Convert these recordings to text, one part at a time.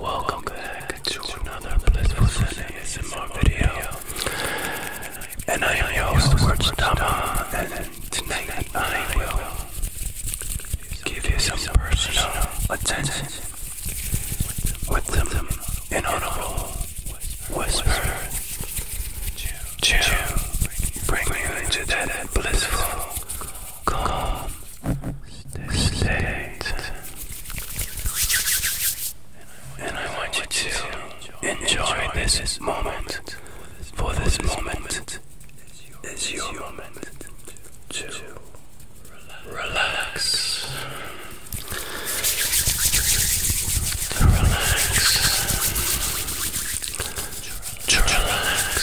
Welcome, back, to, another Blissful Zen ASMR video. And I am your host, Wordstammer, and tonight I will give you some personal attention with some an audible whisper to bring you into that blissful, calm state. And I want you to enjoy this moment, for this moment is your to relax to relax, relax.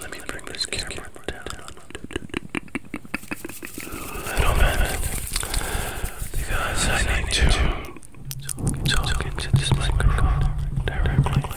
Let me bring this camera down a little bit because I need to talk into this microphone directly.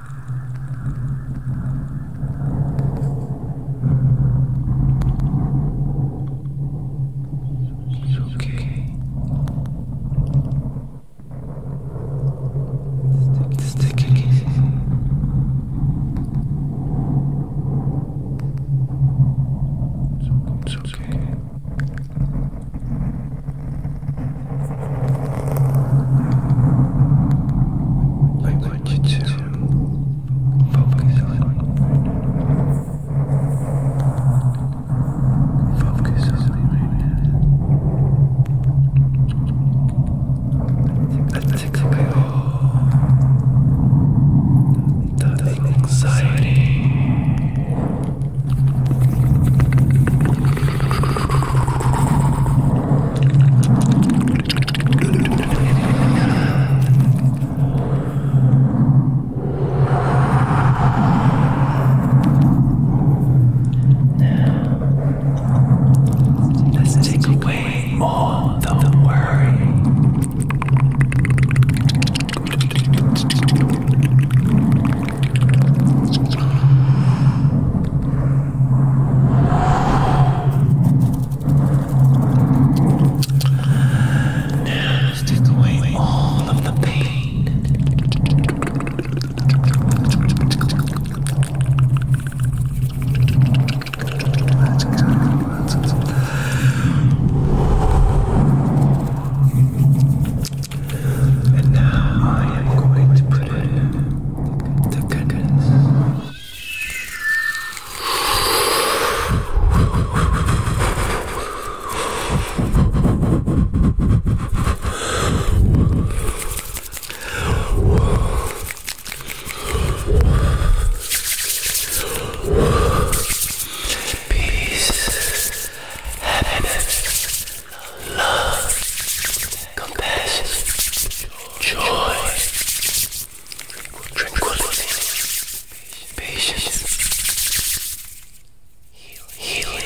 It's okay. It's taking it easy. It's okay. It's okay. I want you to focus on focus on me right now. That takes away all the anxiety. Now, let's take away all the, the worry. Now take away all of the pain. And now I am going to put in to goodness. Peace, happiness, love, compassion, joy, tranquility, patience, healing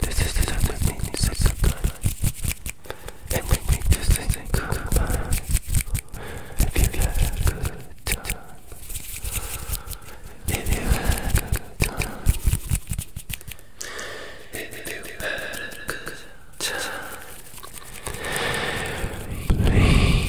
This is the other meaning of sublime. And we make this thing goodbye. If you had a good time. If you had a good time. If you had a good time. Please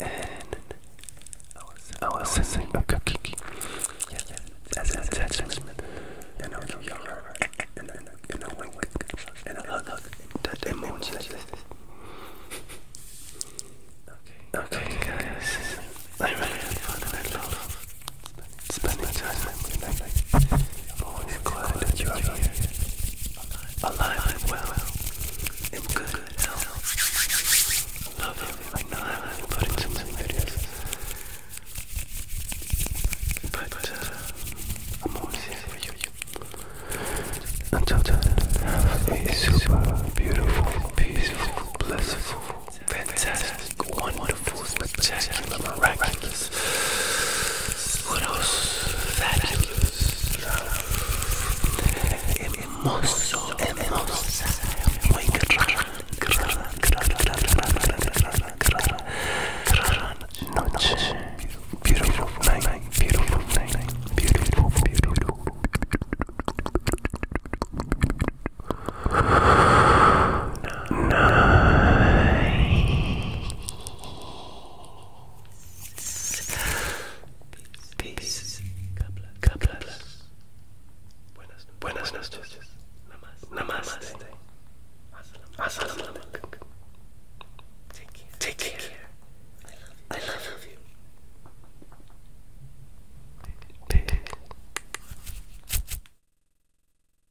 and I was sensing a cookie. Yeah, yeah. As an attachment. And I know y'all are. And I wink, wink. And I hug, hug. That emoji. Okay, guys. I really had fun and I love spending time with you. I'm always glad that you are here alive and well, in good health. Love you. I know I haven't put in so many videos, uh, I'm always here for you. Until then, have a super beautiful, peaceful, blissful, fantastic, wonderful, spectacular, miraculous. What else? Fabulous hermoso, hermosa, muy noche, beautiful night, beautiful night, beautiful, beautiful. Night. Peace. Peace. Kablas. Buenas, noches. Namaste. Namaste. Take care. I love you.